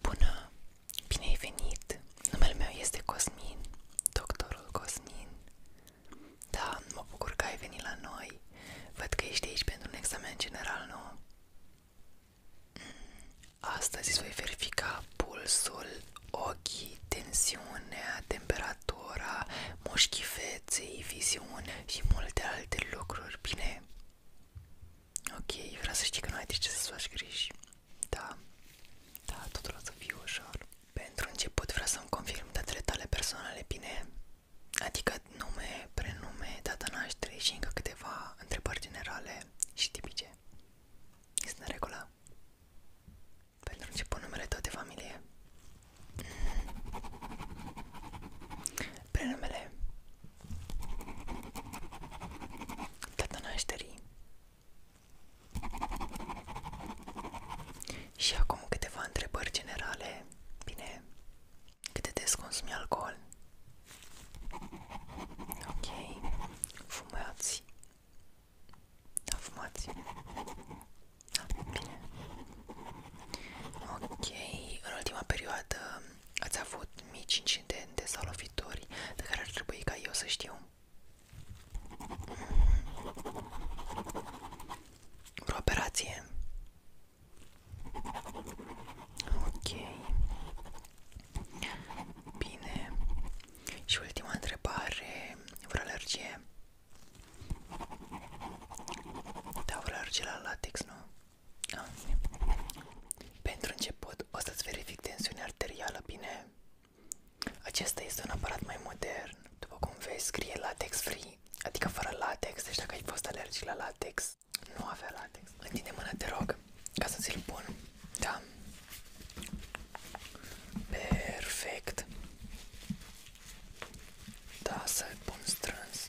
Bună! Bine ai venit! Numele meu este Cosmin, doctorul Cosmin. Da, mă bucur că ai venit la noi. Văd că ești aici pentru un examen general, nu? Mm, astăzi îți voi verifica pulsul, ochii, tensiunea, temperatura, mușchii feței, viziune și multe alte lucruri, bine? Ok, vreau să știi că nu ai de ce să-ți faci griji. Da, da, totul o să fie ușor. Pentru început vreau să-mi confirm datele tale personale bine, adică nume, prenume, data nașterii și încă câteva întrebări generale și tipice. Este în regulă? Pentru început numele tău de familie prenumele data nașterii și acum câteva întrebări generale. Bine, cât de des consumi alcool? Ok, fumați. Da, fumați. Da, bine. Ok, în ultima perioadă Ați avut mici incidente sau lovituri de care ar ca eu să știu? Vreo operație? Ok. Bine. Și ultima întrebare. Vreo alergie? Da, la latex, nu? Pentru început o să-ți verific tensiunea arterială, bine? Acesta este un aparat mai modern, după cum vezi scrie latex free, adică fără latex, deci dacă ai fost alergic la latex, nu avea latex. Întinde mâna, te rog, ca să ți-l Da. Perfect. Da, să pun strâns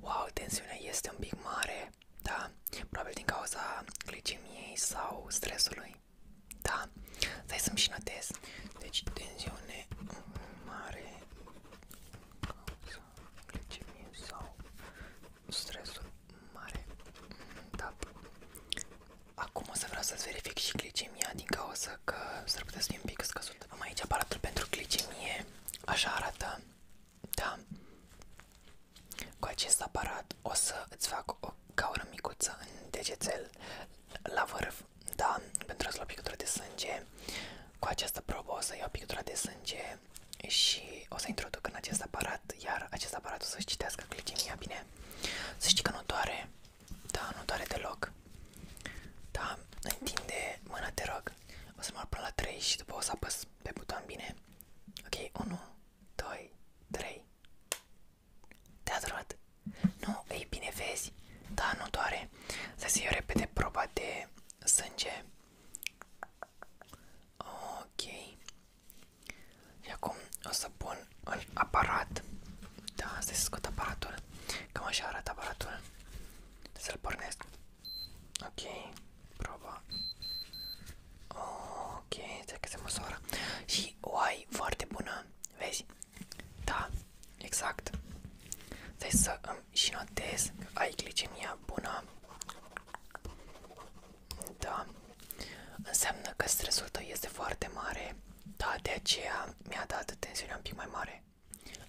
Wow, tensiunea este un pic mare, da? Probabil din cauza glicemiei sau stresului. Da, stai să-mi și notez. Deci tensiune mare cauza glicemie sau stresul mare. Da. Acum o să vreau să verific și glicemia din cauza că s-ar putea să fie un pic Am aici aparatul pentru glicemie, așa arată. Da. Cu acest aparat o să îți fac o gaură micuță în degețel la vârf da, pentru a-ți lua pictura de sânge, cu această probă o să iau pictura de sânge și o să introduc în acest aparat, iar acest aparat o să-și citească glicemia, bine? Să știi că nu doare, da, nu doare deloc, da, întinde mâna, te rog, o să mă până la 3 și după o să apăs pe buton, bine? Ok, 1, 2, 3, te-a durat? Nu, ei bine, vezi? Da, nu doare. Să se iau repede proba de sânge, sânge. Ok. Și acum o să pun în aparat. Da, să scot aparatul. Cam așa arată aparatul. Să-l pornesc. Ok, proba. Ok, trebuie că se măsoară. Și o ai foarte bună, vezi? Da, Exact. Deci să îmi și notez că ai glicemia bună. Da. Înseamnă că stresul tău este foarte mare. Da, de aceea mi-a dat tensiunea un pic mai mare.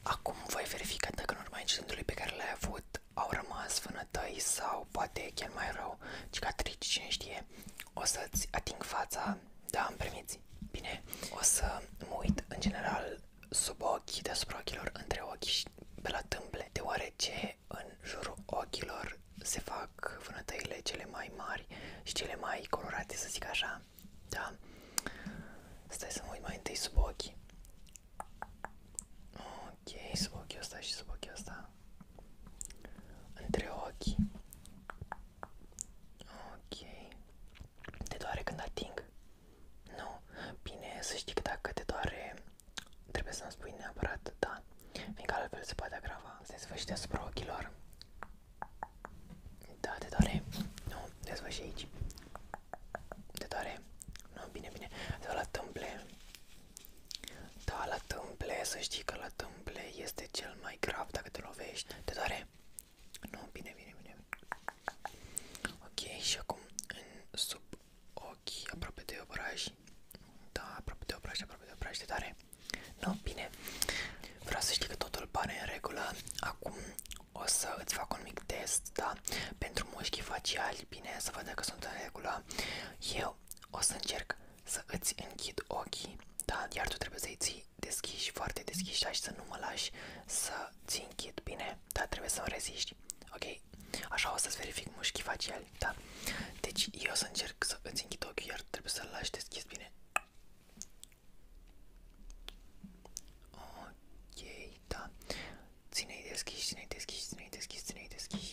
Acum voi verifica dacă în urma incidentului pe care l-ai avut au rămas vânătăi sau poate chiar mai rău, cicatrici, cine știe. O să-ți ating fața, da, îmi permiți? Bine, o să mă uit în general sub ochi, deasupra ochilor, între ochi și pe la tâmple, deoarece în jurul ochilor se fac vânătăile cele mai mari și cele mai colorate, să zic așa, da? Stai să mă uit mai întâi sub ochi. Ok, sub ochiul ăsta și sub ochiul ăsta. Între ochi. Ok. Te doare când ating? Nu. Bine, să știi că dacă te doare, trebuie să-mi spui neapărat da. Fiindcă altfel se poate agrava. Se sfârșit asupra ochilor. Da, te doare. Nu, dezvăși aici. Te doare? Nu, bine, bine. Te la tâmple. Da, la tâmple, să știi că la tâmple este cel mai grav dacă te lovești. Te doare? Nu, bine, bine, bine. Ok, și acum sub ochi, aproape de obraj. Da, aproape de obraj, aproape de obraj de tare. Nu, bine. Vreau să știi că totul pare în regulă. Acum o să îți fac un mic test, da? Pentru mușchii faciali, bine, să văd dacă sunt în regulă. Eu o să încerc să îți închid ochii, da? Iar tu trebuie să-i ții mai deschiși, foarte deschiși, așa să nu mă lași să ți închid, bine? Dar trebuie să o reziști, ok? Așa o să-ți verific mușchi faciali, da? Deci eu o să încerc să îți închid ochiul, iar trebuie să-l lași deschis, bine? Ok, da. Ține-i deschis, ține-i deschis, ține-i deschis, ține-i deschis.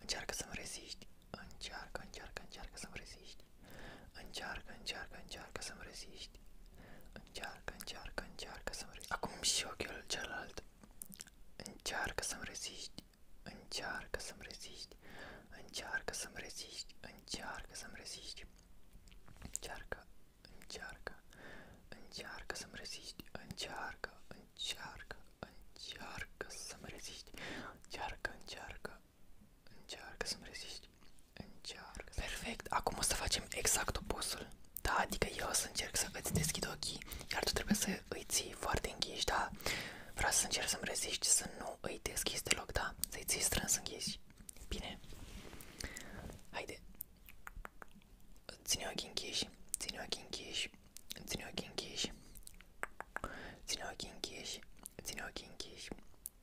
Încearcă să-mi reziști. Încearcă, încearcă, încearcă să-mi reziști. Încearcă, încearcă, încearcă să-mi reziști. Încearcă, încearcă, încearcă să-mi reziști. Acum și ochiul celălalt. Încearcă să-mi reziști. Încearcă să reziști. Încearcă, încearcă, Încearcă să-mi reziști. Încearcă. Perfect, acum o să facem exact opusul. Da, adică eu o să încerc să îți deschid ochii, iar tu trebuie să îi ții foarte închiși, da? Vreau să încerc să-mi reziști să nu îi deschizi deloc, da? Să-i ții strâns închiși. Bine. Haide. Ține ochii închiși, ține ochii închiși, ține ochii închiși, Ține ochii închiși, ține ochii închiși,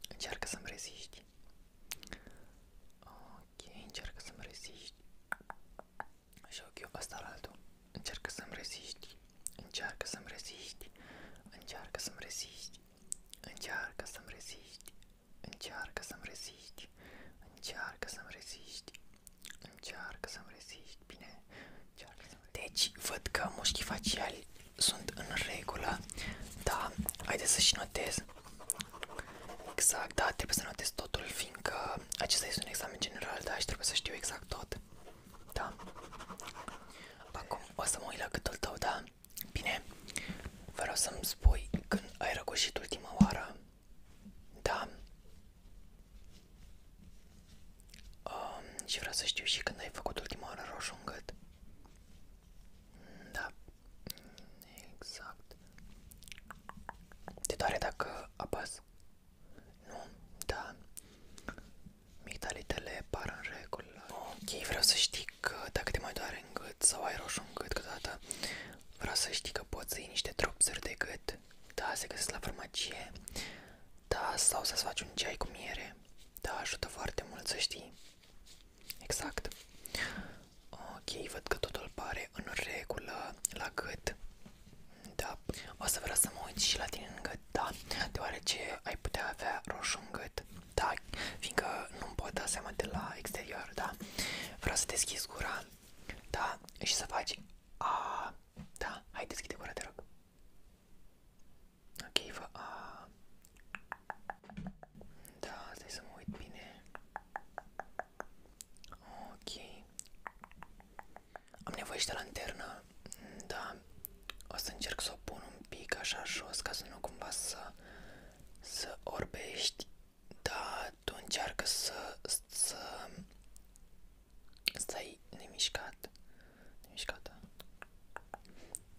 încearcă să-mi reziști. Ok, încearcă să-mi Și ochiul ăsta la altul. Încearcă să-mi reziști, încearcă să-mi reziști, încearcă să-mi reziști, încearcă să-mi reziști, încearcă să-mi reziști, încearcă să-mi reziști, încearcă să-mi reziști. Bine. Deci, văd că mușchii faciali sunt în regulă. Da, haideți să și notez. Exact, da, trebuie să notez totul, fiindcă acesta este un examen general, da, și trebuie să știu exact tot. Da. Acum o să mă uit la gâtul tău, da? Bine. Vreau să-mi spui când ai răgușit ultima oară. Da. Um, și vreau să știu și când ai făcut ultima oară roșu în gât. Da, exact. Te doare dacă apas? Nu? Da. Migdalitele par în regulă. Ok, vreau să știi că dacă te mai doare în gât sau ai roșu în gât câteodată, vreau să știi că poți să iei niște dropsuri de gât. Da, se găsesc la farmacie. Da, sau să-ți faci un ceai cu miere. Da, ajută foarte mult să știi. Exact. Ok, văd că totul pare în regulă la gât. Da, o să vreau să mă uit și la tine în gât, da, deoarece ai putea avea roșu în gât, da, fiindcă nu-mi pot da seama de la exterior, da. Vreau să deschizi gura, da, și să faci Ah. da, hai deschide gura, te rog. Ok, vă... A... Da, stai să mă uit bine. Ok. Am nevoie și de lanternă. Da. O să încerc să o pun un pic așa jos ca să nu cumva să, să orbești. Da, tu încearcă să, să Stai nemișcat, nemișcată.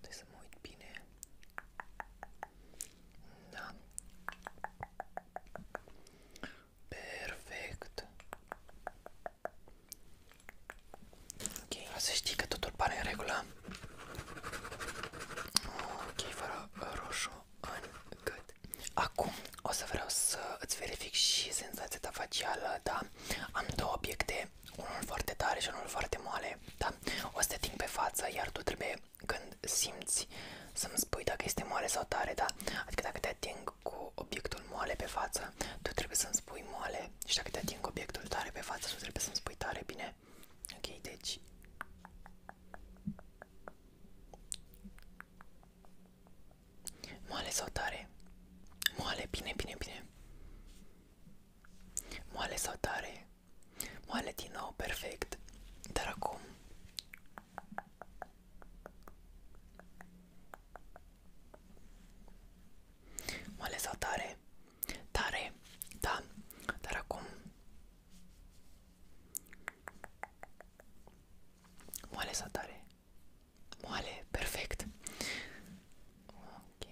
Trebuie bine. Da. Perfect. Ok, să că totul pare în regulă. Ok, fără roșu în Acum o să vreau să verific și senzația ta facială, da? Am două obiecte, unul foarte tare și unul foarte moale, da? O să te ting pe față, iar tu trebuie când simți să-mi spui dacă este moale sau tare, da? Adică dacă te ating cu obiectul moale pe față, tu trebuie să-mi spui moale și dacă te ating cu obiectul tare pe față, tu trebuie să-mi spui tare, bine? Ok, deci... Moale sau tare? Moale, bine, bine, bine. Moale sau tare? Moale din nou, perfect. Dar acum... Moale sau tare? Tare, da. Dar acum... Moale sau tare? Moale, perfect. Ok.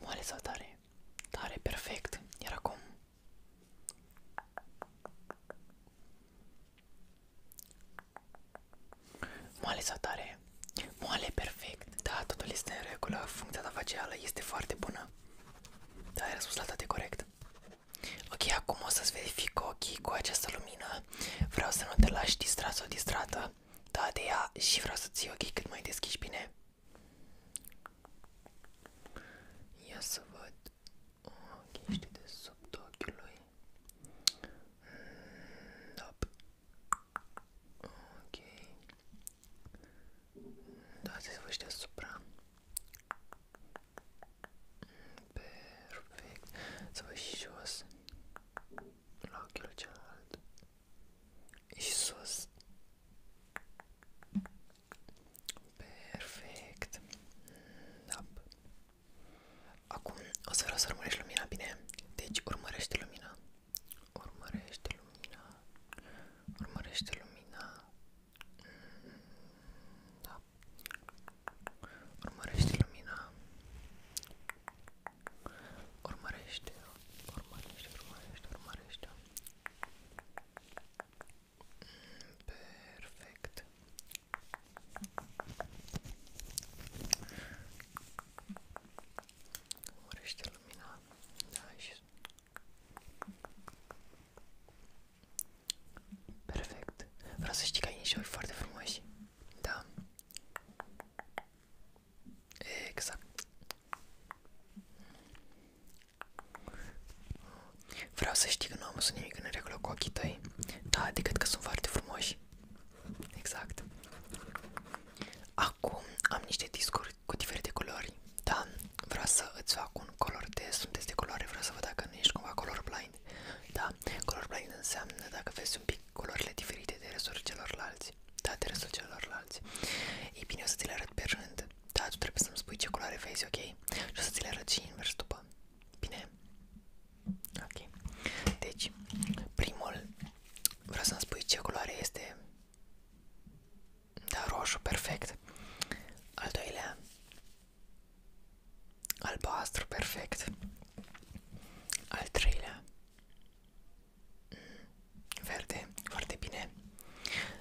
Moale tare? Tare, perfect. Iar acum? Moale sau tare? Moale, perfect. Da, totul în regulă. Funcția ta facială este foarte bună. Da, ai răspuns la toate corect. Ok, acum o să-ți verific ochii cu această lumină. Vreau să nu te lași distrat sau distrată. Da, de ea și vreau să ții ochii cât mai deschiși bine. Ia să văd. Ok, ești de sub ochiului. Mm, da. Ok. Dați să vă știți Perfect. Să vă și jos. Și sus. Perfect. Da. Acum o să să urmărești lumina, bine? Deci urmărește lumina. Urmărește lumina. Urmărește lumina. Da. Urmărește lumina. Urmărește, urmărește, urmărește, urmărește. Perfect. Urmărește lumina. Da, și Perfect. Vreau să știi că foarte frumoși. Da. Exact. Vreau să știi că nu am văzut nimic în regulă cu ochii tăi. Da, decât că sunt foarte frumoși. Exact. Acum am niște discuri cu diferite colori, da, vreau să îți fac un color test, un test de culoare, vreau să văd dacă nu ești cumva colorblind, da, colorblind înseamnă dacă vezi un pic culorile diferite de restul celorlalți, da, de restul celorlalți, ei bine, o să ți le arăt pe rând, da, tu trebuie să-mi spui ce culoare vezi, ok, și o să ți le arăt și invers după, bine? Ok, deci, primul, vreau să-mi spui ce culoare este da, roșu, perfect. Al doilea. Albastru, perfect. Al treilea. Mm, verde, foarte bine.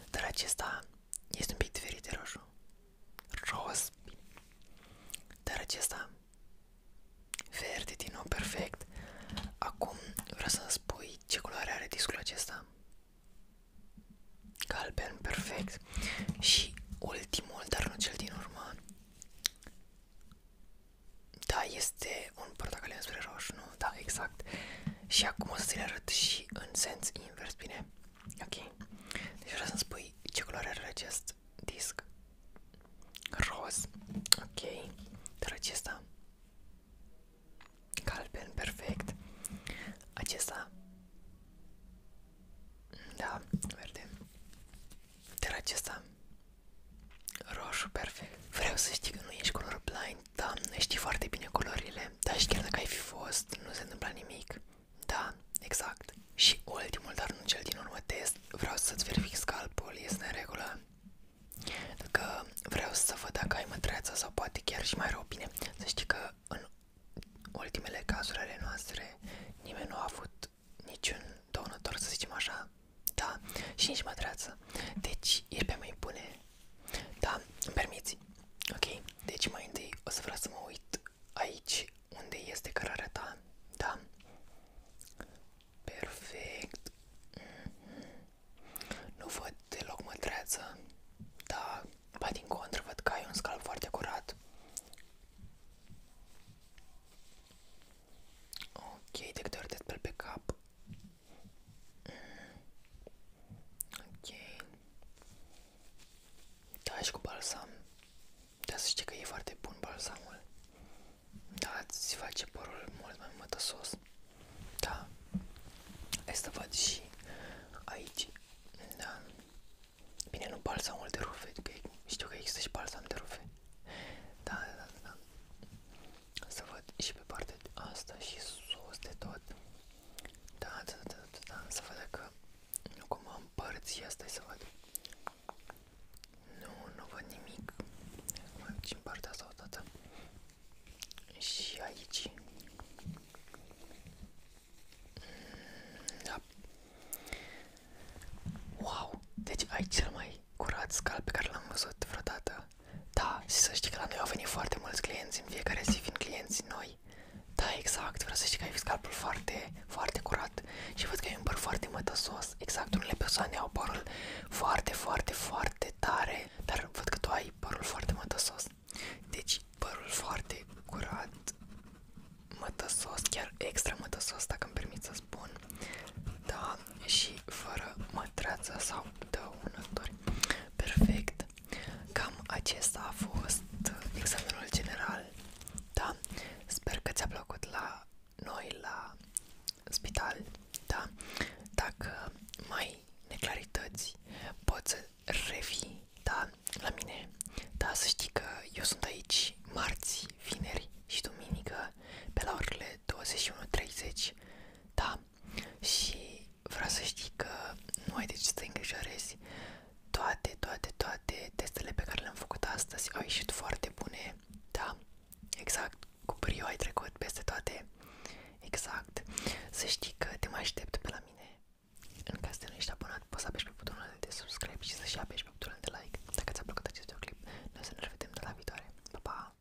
Dar acesta este un pic diferit de roșu. Roz. Dar acesta verde din nou, perfect. Acum vreau să spui Păi, ce culoare are discul acesta? Galben, perfect. Și ultimul, dar nu cel din urmă. Da, este un portocaliu spre roșu, nu? Da, exact. Și acum o să ți le arăt și în sens invers, bine? Ok. Deci vreau să-mi spui ce culoare are acest disc. Roz. Ok. Dar acesta Galben, perfect. Acesta. Da, verde. Dar acesta. Roșu, perfect. Vreau să știi că nu ești colorblind, da, știi foarte bine culorile, dar și chiar dacă ai fi fost, nu se întâmpla nimic. Da, exact. Și ultimul, dar nu cel din urmă test, vreau să-ți verific scalpul, este în regulă. Dacă vreau să văd dacă ai mătreața sau poate chiar și mai rău bine. Să știi că în ultimele cazuri ale noastre nimeni nu a avut niciun dăunător, să zicem așa. Da, și nici mătreață. Deci e pe mai bune. Da, îmi permiți. Ok, deci mai întâi o să vreau să mă uit aici unde este cărarea ta. Da. Perfect. Mm -hmm. Nu văd deloc mătreață, dar ba din contră văd că ai un scalp foarte curat. Ok, de câte ori te speli pe cap? Mm. Ok. Da, și cu balsam. Da, să știi că e foarte bun balsamul. Da, îți face părul mult mai mătăsos. Da. Hai să văd și aici. Da. Bine, nu balsamul de rufe, că știu că există și balsam de rufe. Da, da, da, da. Să văd și pe partea asta și sus de tot. Da, da, da, da, da. Să văd dacă nu cumva împărți asta, să văd. Nu, nu văd nimic. Mai uit în partea asta odată. Și aici. Da. Wow! Deci aici cel mai curat scal pe care l-am văzut vreodată. Da, și să știi că la noi au venit foarte mulți clienți în fiecare zi vin clienți noi. Da, exact, vreau să știi că ai scalpul foarte, foarte curat și văd că ai un păr foarte mătăsos Exact, exact, unele persoane au părul foarte, foarte, foarte tare, dar văd că tu ai părul foarte mătăsos. Deci părul foarte curat, mătăsos, chiar extra mătăsos, dacă îmi permit să spun. Da, și fără mătreață sau dăunători. Perfect. Cam acesta a fost examenul general. Da, sper că ți-a plăcut la noi, la spital, da? Dacă mai neclarități, poți să revii, da, la mine. Da, să știi că eu sunt aici marți, vineri și duminică pe la orele 21.30, da? Și vreau să știi că nu ai de ce să te îngrijorezi. Toate, toate, toate testele pe care le-am făcut astăzi au ieșit foarte bune, da? Exact, cu brio ai trecut peste toate. Exact. Să știi că te mai aștept pe la mine. În caz de nu ești abonat, poți să apeși pe butonul de subscribe și să și apeși pe butonul de like. Dacă ți-a plăcut acest videoclip, noi să ne revedem de la viitoare. Pa, pa!